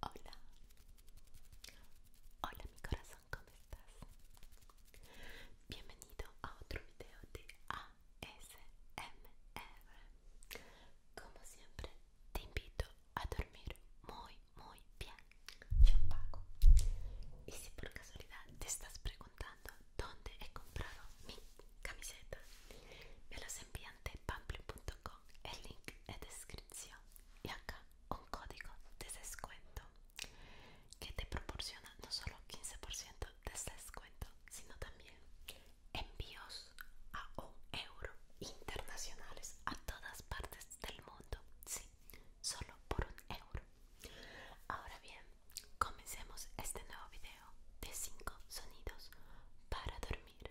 Hola, hola mi corazón, ¿cómo estás? Bienvenido a otro video de ASMR. Como siempre, te invito a dormir muy, muy bien. Yo Y si por casualidad te estás preguntando dónde he comprado mi camiseta, me los envían de pamplin.com el link de descripción y acá un código de descuento que te proporciona no solo 15% de descuento sino también envíos a un euro internacionales a todas partes del mundo sí solo por un euro ahora bien comencemos este nuevo video de 5 sonidos para dormir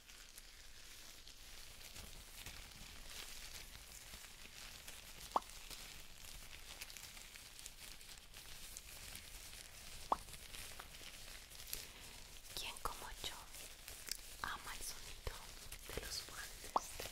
¿Quién como yo ama el sonido de los guantes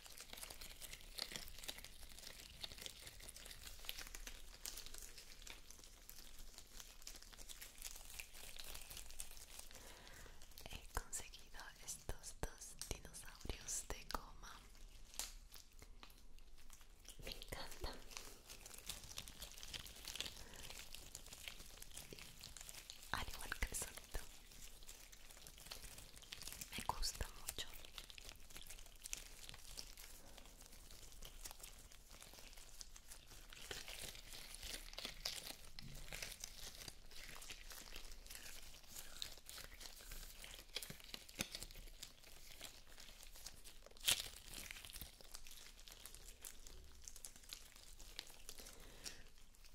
He conseguido estos dos dinosaurios de goma. Me encantan. Al igual que el me gusta mucho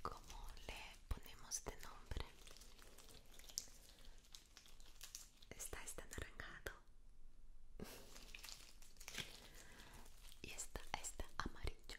¿Cómo le ponemos de nombre? Está este naranja Y está esta amarillo.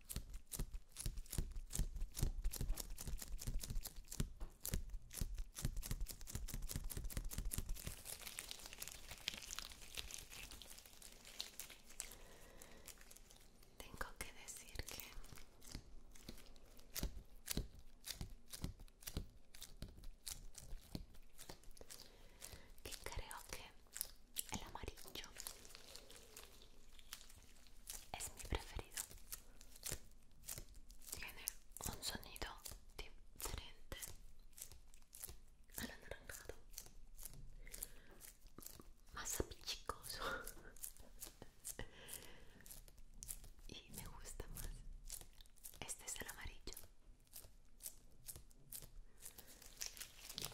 Tengo que decir que creo que el amarillo es mi preferido tiene un sonido diferente al anaranjado más apichicoso y me gusta más este es el amarillo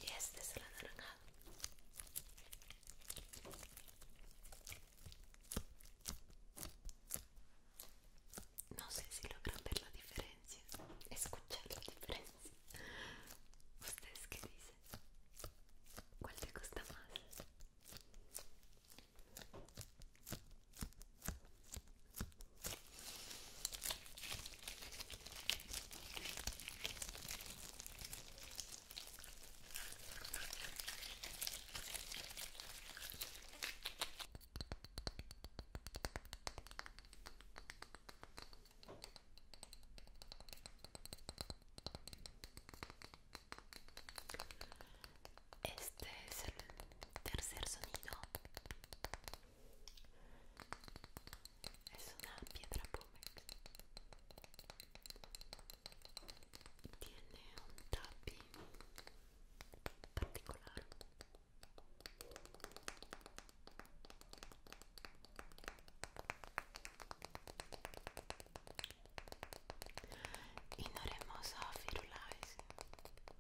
y este es el anaranjado no sé si logran ver la diferencia, escuchar la diferencia. ¿Ustedes qué dicen? ¿Cuál te gusta más? Este es el tercer sonido. Es una piedra tiene un tapping particular ignoremos a Firulais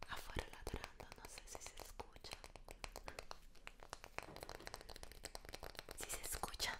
afuera ladrando no sé si se escucha si se escucha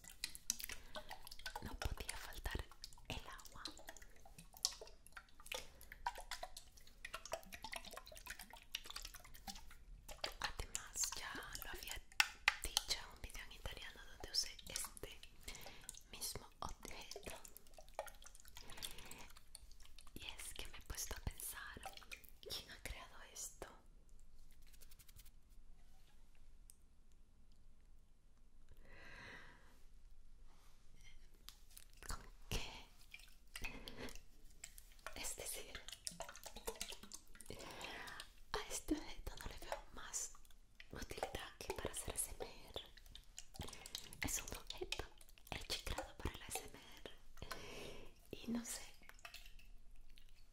no podía faltar el agua además ya lo había dicho en un video en italiano donde usé este mismo objeto y es que me he puesto a pensar quién ha creado esto ¿Con qué? Es decir, a este objeto no le veo más utilidad que para hacer SMR. Es un objeto creado para el SMR y no sé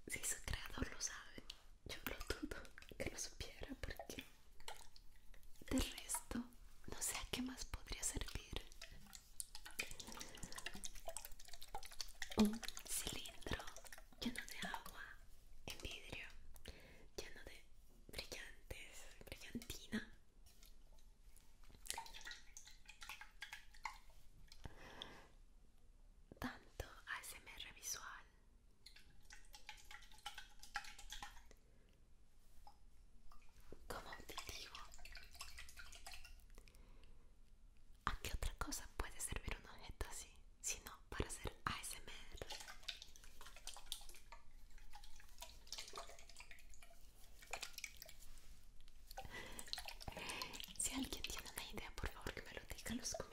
si su creador lo sabe yo lo dudo que lo supiera porque del resto no sé a qué más podría servir. Un cilindro lleno de agua en vidrio, lleno de brillantes, brillantina. Tanto ASMR visual como auditivo ¿a qué otra cosa puede servir un objeto así? si no para hacer ASMR si alguien tiene una idea por favor que me lo diga en los comentarios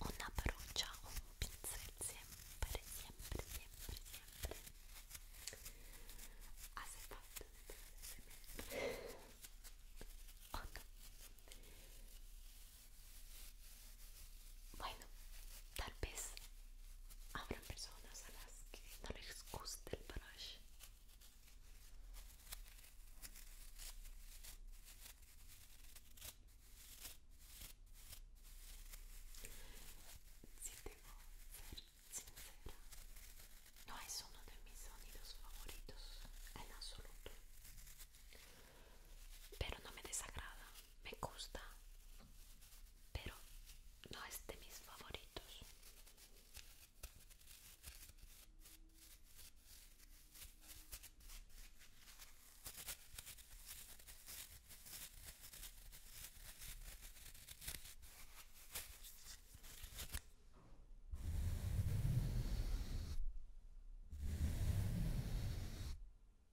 Una brucia o un pincel sempre, sempre, sempre, sempre asepato oh, no. bueno, tal vez habrá personas a las que no les guste el brush. Si a ser sincera, no es uno de mis sonidos favoritos en absoluto, pero no me desagrada, me gusta, pero no es de mis favoritos.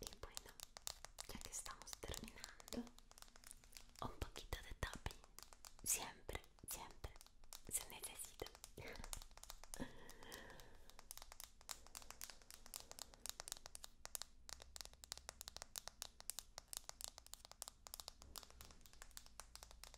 Y bueno, ya que estamos terminando, un poquito de tapping. Siempre, siempre se necesita.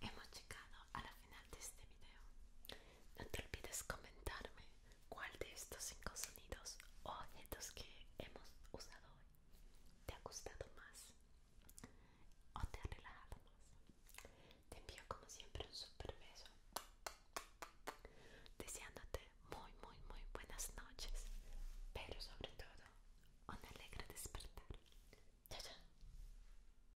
Hemos llegado a la final de este video. No te olvides comentarme cuál de estos cinco sonidos o objetos que hemos usado hoy te ha gustado más o te ha relajado más. Te envío como siempre un super beso. Deseándote muy muy muy buenas noches, pero sobre todo un alegre despertar. Chao chao.